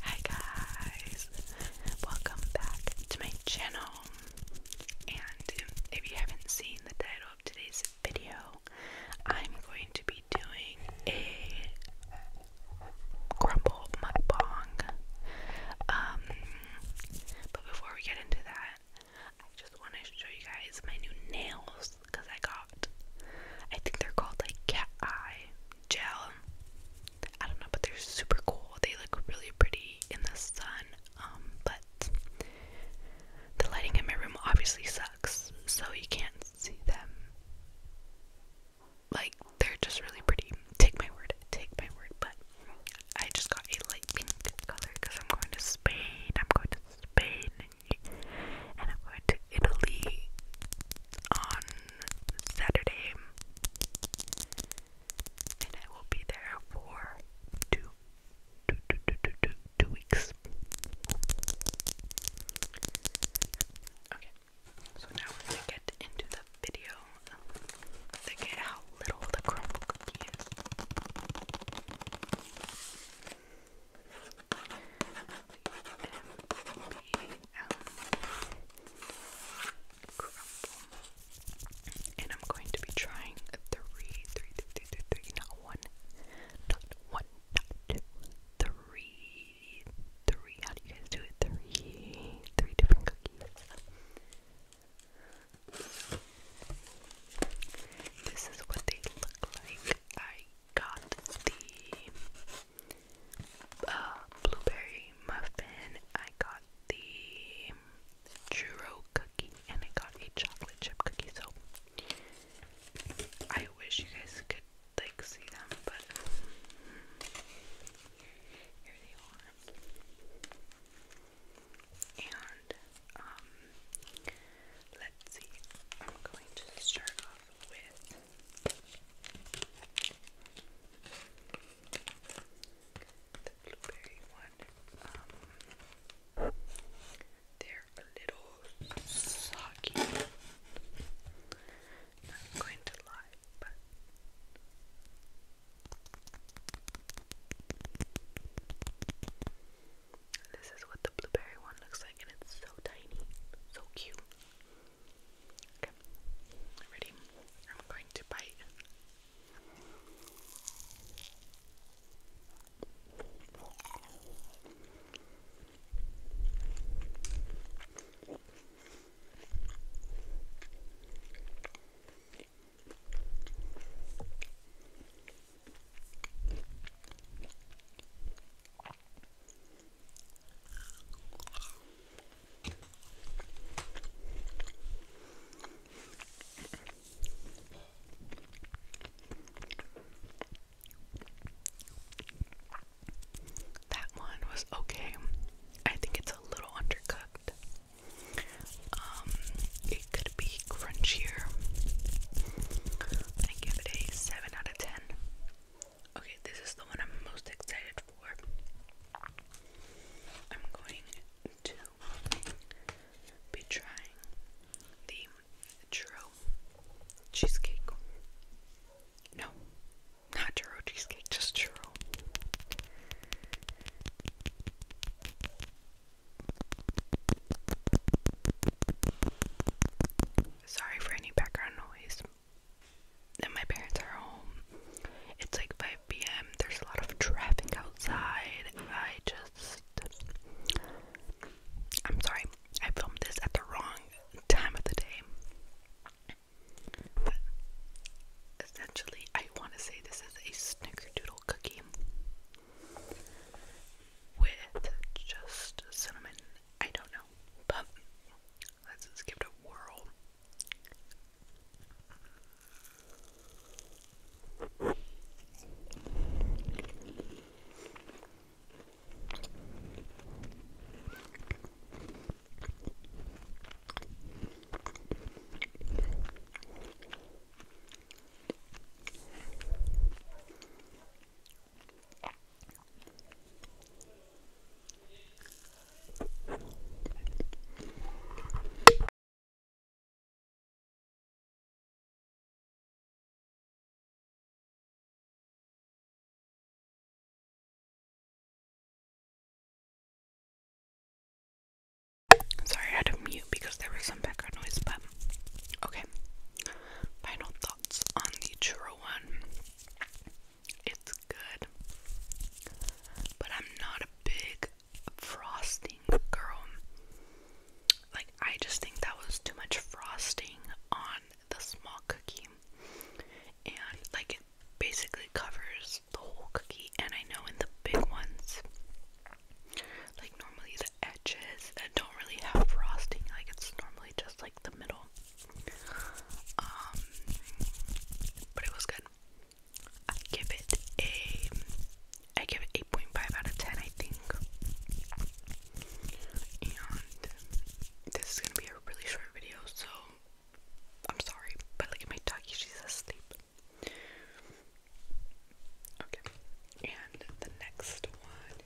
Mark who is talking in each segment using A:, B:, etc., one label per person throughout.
A: Hi guys, welcome back to my channel. And if you haven't seen the title of today's video, I'm going to be doing a crumble mukbang. Um, but before we get into that, I just want to show you guys my new nails because I got, I think they're called like cat eye gel. I don't know, but they're super cool. They look really pretty in the sun. Um, but the lighting in my room obviously sucks, so you can't see them. Like they're just really pretty. Take my word, take my word. But I just got a light pink color because I'm going to Spain. I'm going to Spain, and I'm going to Italy on Saturday, and I will be there for two, two, two, two, two, two, two weeks. Okay, so now we're gonna get into the video. Look at how little the crumble cookie is. And I'm going to be trying three, three, three, three, three, three, not one, not one, not two, three, three. How do you guys do it? Three, three different cookies. This is what they look like. I got the uh, blueberry muffin. I got the churro cookie and I got a chocolate chip cookie. So I wish you guys could like see them, but here they are. And um, let's see. I'm going to start off with the blueberry one. Um, they're a little soggy. Not going to lie, but. This is what the blueberry one looks like, and it's so tiny, so cute. Okay, ready? I'm going to bite. That one was okay. I think it's a little undercooked. Um, it could be crunchier. I give it a 7 out of 10. Okay, this is the one I'm most excited for. I'm going to be trying the churro cheesecake. No, not churro cheesecake, just churro. Sorry for any background noise and my parents are home. It's like 5 p.m. There's a lot of traffic outside. I just. I'm sorry. I filmed this at the wrong time of the day. essentially, I want to say this is a snickerdoodle cookie with just cinnamon I don't know, but let's just give it a whirl. Sorry, I had to mute because there was some background noise, but okay. Final thoughts on the churro one. It's good, but I'm not a big frosting girl. Like, I just think that was too much frosting on the small cookie, and like it basically covers the whole cookie. And I know in the big ones, like normally the edges don't really have frosting, like it's normally just like the middle. Um, but it was good. I give it a, I give it 8.5 out of 10, I think. And this is gonna be a really short video, so I'm sorry, but look at my doggy, she's asleep. Okay, and the next one,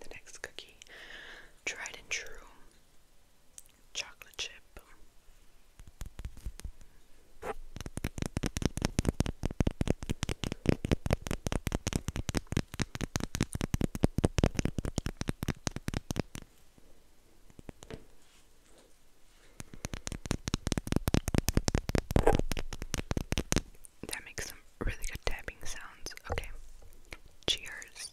A: the next cookie, tried and true chocolate chip. That makes some really good tapping sounds. Okay. Cheers.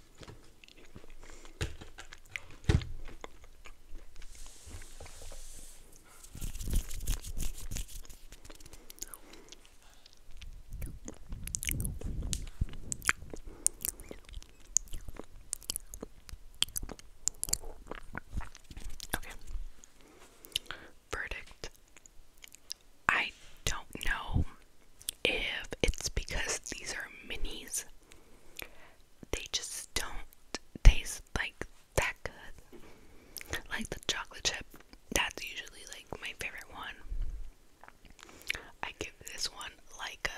A: Okay. Verdict. I don't know if it's because these are minis they just don't taste like that good. Like the chocolate chip, that's usually like my favorite one. I give this one like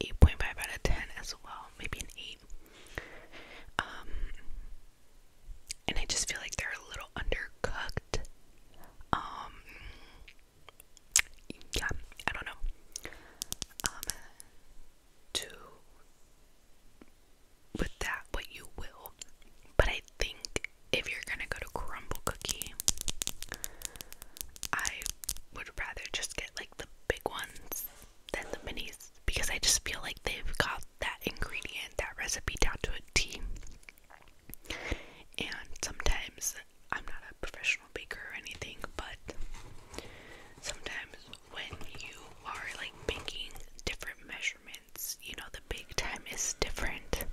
A: a 8.5 out of 10 as well, maybe an 8. Um, and I just feel like they're a little undercooked. Um, yeah, I don't know. Um, with that what you will, but I think if you're gonna go to crumble cookie, I would rather just get like the big ones than the minis because I just feel like they've got that ingredient, that recipe down to a T. And sometimes I'm not a professional baker or anything, but sometimes when you are like making different measurements, you know, the bake time is different.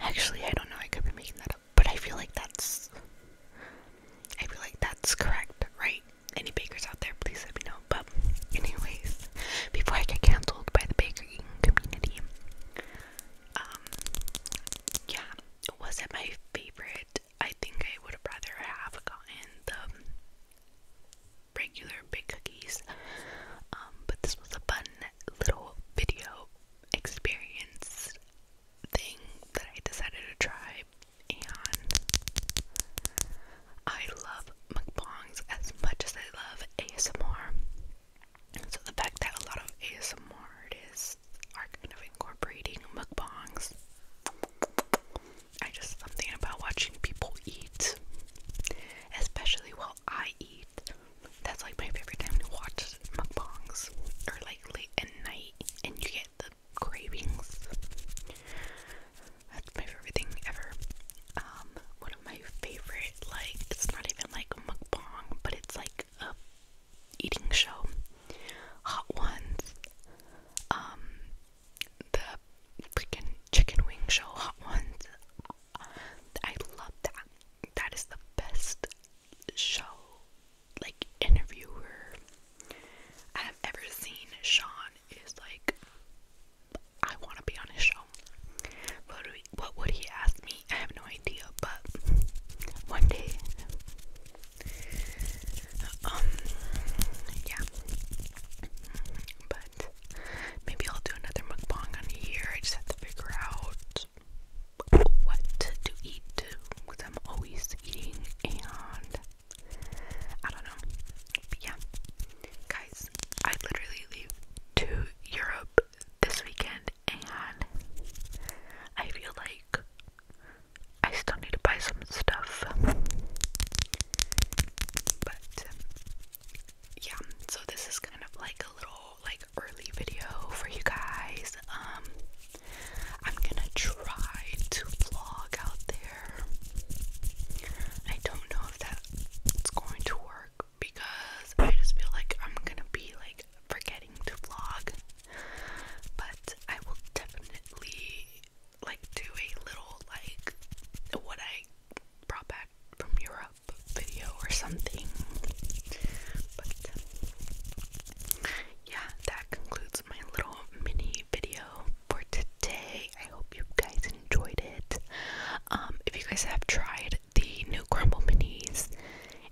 A: Actually, I don't know, I could be making that up, but I feel like that's I feel like that's correct, right? Any bakers out there, please let me know. But anyways, before I get cancelled by the baking community, um yeah, was it my favorite I think I would have rather have gotten the regular big cookies. Um, but this was a fun little video experience thing that I decided to try and I love mukbangs as much as I love ASMR. So the fact that a lot of ASMR artists are kind of incorporating mukbangs. I just thinking about watching people eat, especially while I eat. That's like my favorite time to watch mukbangs, or like late at night, and you get the cravings. That's my favorite thing ever. Um, one of my favorite, like, it's not even like mukbang, but it's like a eating show, Hot Ones, um, the freaking chicken wing show, Hot Ones. I love that. That is the best show, like interviewer I have ever seen. Sean is like, I want to be on his show. What, we, what would he ask me? I have no idea, but one day um, yeah. But maybe I'll do another mukbang on a I just have to figure out what to eat because I'm always eating and I don't know. yeah. Guys, I literally leave to Europe this weekend and I feel like I still need to buy some stuff. But yeah, so this is kind of like a little like early video for you guys. Um I'm gonna try to vlog out there. I don't know if that's going to work because I just feel like I'm gonna be like forgetting to vlog, but I will definitely like do a little like what I brought back from Europe video or something. But yeah, that concludes my little mini video for today. I hope you guys enjoyed it. Um, if you guys have tried the new crumble minis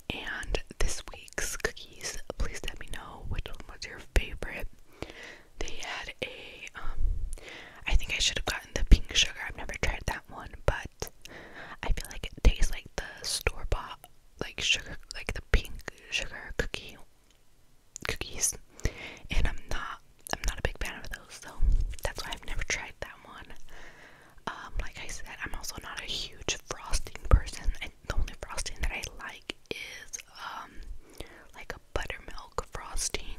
A: and this week's cookies. Please let me know which one was your favorite. They had a. Um, I think I should have gotten the pink sugar. I've never tried that one, but I feel like it tastes like the store bought, like sugar, like the pink sugar cookie cookies. And I'm not, I'm not a big fan of those, so that's why I've never tried that one. Um, like I said, I'm also not a huge frosting person the only frosting that I like is um like a buttermilk frosting.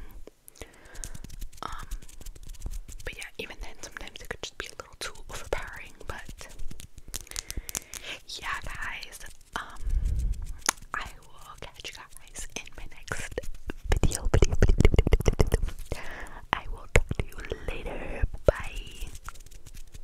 A: Um, but yeah, even then sometimes it could just be a little too overpowering, but yeah guys, um I will catch you guys in my next video. I will talk to you later. Bye.